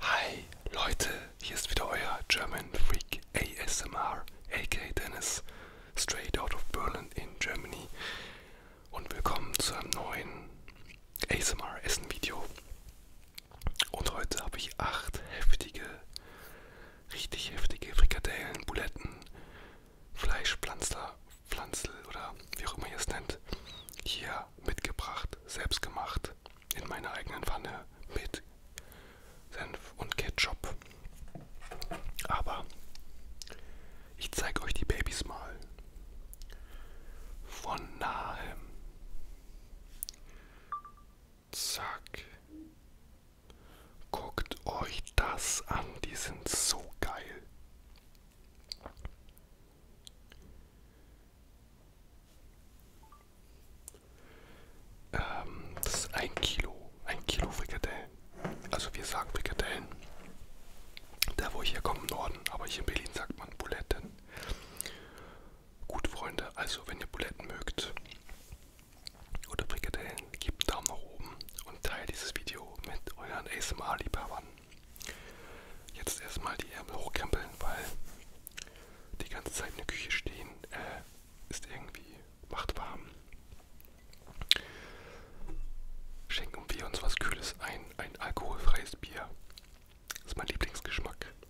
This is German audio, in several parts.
Hi Leute, hier ist wieder euer German Freak ASMR, aka Dennis, straight out of Berlin in Germany. Und willkommen zu einem neuen ASMR Essen Video. Und heute habe ich acht heftige richtig heftige Frikadellen, Buletten, Fleischpflanzler, Pflanzel oder wie auch immer ihr es nennt, hier mitgebracht, selbst gemacht, in meiner eigenen Pfanne mit Senf und Ketchup. Aber ich zeige euch die Babys mal von nahem. Zack. Guckt euch das an, die sind so geil. Ähm, das ist ein Kilo, ein Kilo Frikadellen. Also wir sagen Frikadellen. Da wo ich herkomme im Norden, aber hier in Berlin sagt man Buletten. Gut Freunde, also wenn ihr Buletten mögt, oder Frikadellen, gebt einen Daumen nach oben und teilt dieses Video mit euren ASMR-Liebhabern. Jetzt erstmal die Ärmel hochkrempeln, weil die ganze Zeit in der Küche stehen äh, ist irgendwie macht warm. Schenken wir uns was Kühles ein, ein alkoholfreies Bier. Das ist mein Lieblingsgeschmack.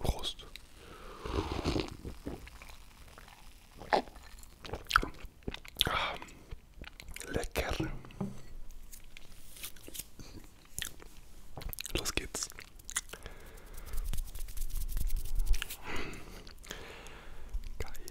Prost. Lecker. Los geht's. Geil.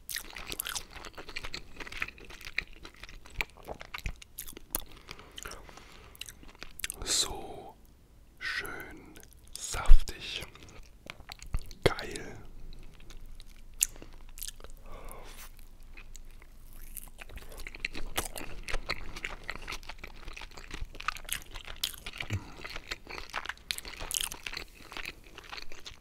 So schön saftig. Geil.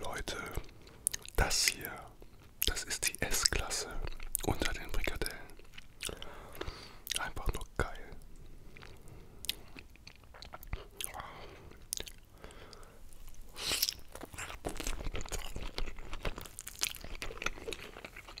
Leute, das hier, das ist die S-Klasse unter den Frikadellen. Einfach nur geil.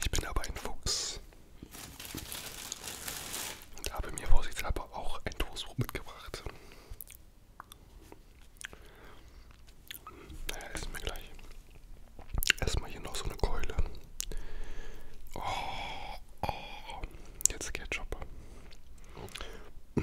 Ich bin aber ein Fuchs und habe mir vorsichtshalber auch ein Toastbrot mitgebracht. Naja, essen wir gleich. Erstmal hier noch so eine Keule. Oh, oh, oh. jetzt Ketchup. Mm.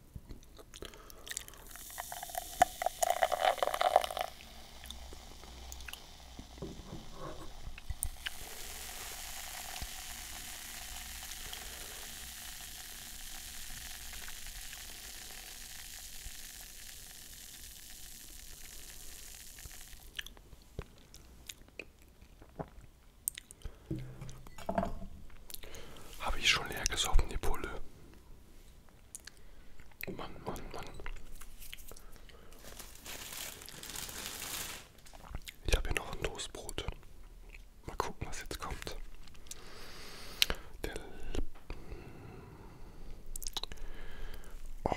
Habe ich schon leer gesoffen, die Pulle? Mann, Mann, Mann. Ich habe hier noch ein Toastbrot. Mal gucken, was jetzt kommt. Der oh.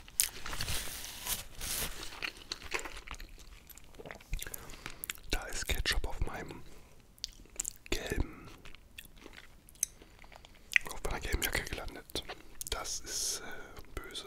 Da ist Ketchup auf meinem gelben, auf meiner gelben Jacke gelandet. Das ist äh, böse.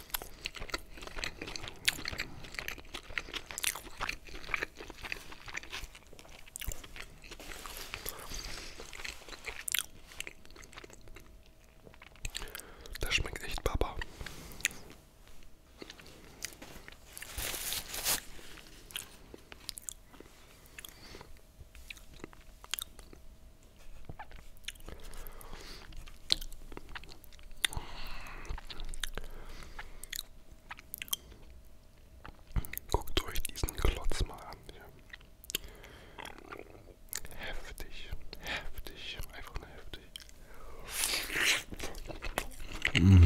Das schmeckt echt Papa. Guckt euch diesen Klotz mal an. Heftig, heftig, einfach nur heftig. Mm.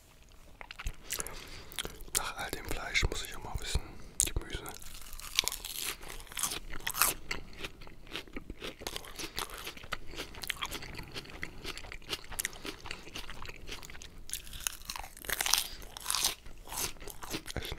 Nach all dem Fleisch muss ich auch mal wissen, Gemüse. Essen.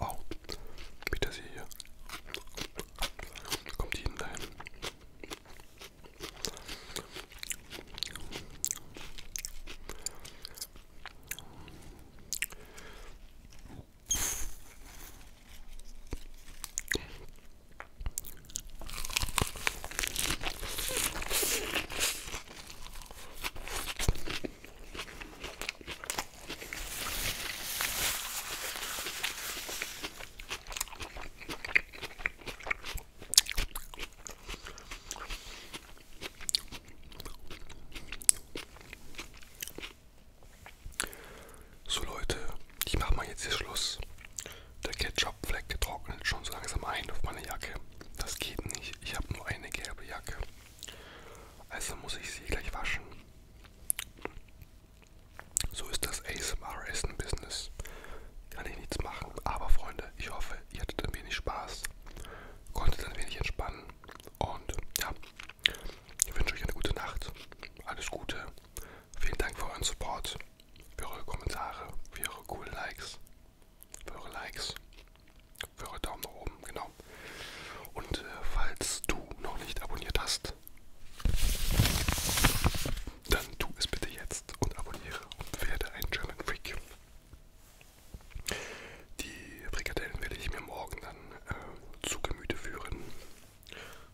Oh, Petersilie hier. Kommt jeden dahin. So Leute, ich mache mal jetzt hier Schluss. Der Ketchup-Fleck getrocknet schon so langsam ein auf meine Jacke. Das geht nicht. Ich habe nur eine gelbe Jacke. Also muss ich sie gleich waschen. So ist das ASMR-Essen-Business. Kann ich nichts machen. Aber Freunde, ich hoffe, ihr hattet ein wenig Spaß, konntet ein wenig entspannen. Und ja, ich wünsche euch eine gute Nacht. Alles Gute. Vielen Dank für euren Support, für eure Kommentare, für eure coolen Likes, für eure Likes, für eure Daumen nach oben, genau. Und äh, falls du noch nicht abonniert hast, dann tu es bitte jetzt und abonniere und werde ein German Freak. Die Frikadellen werde ich mir morgen dann äh, zu Gemüte führen.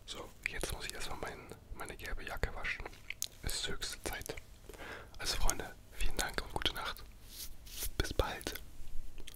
So, jetzt muss ich erstmal mein, meine gelbe Jacke waschen. Es ist höchste Zeit. Also Freunde, vielen Dank und gute Nacht. Bis bald.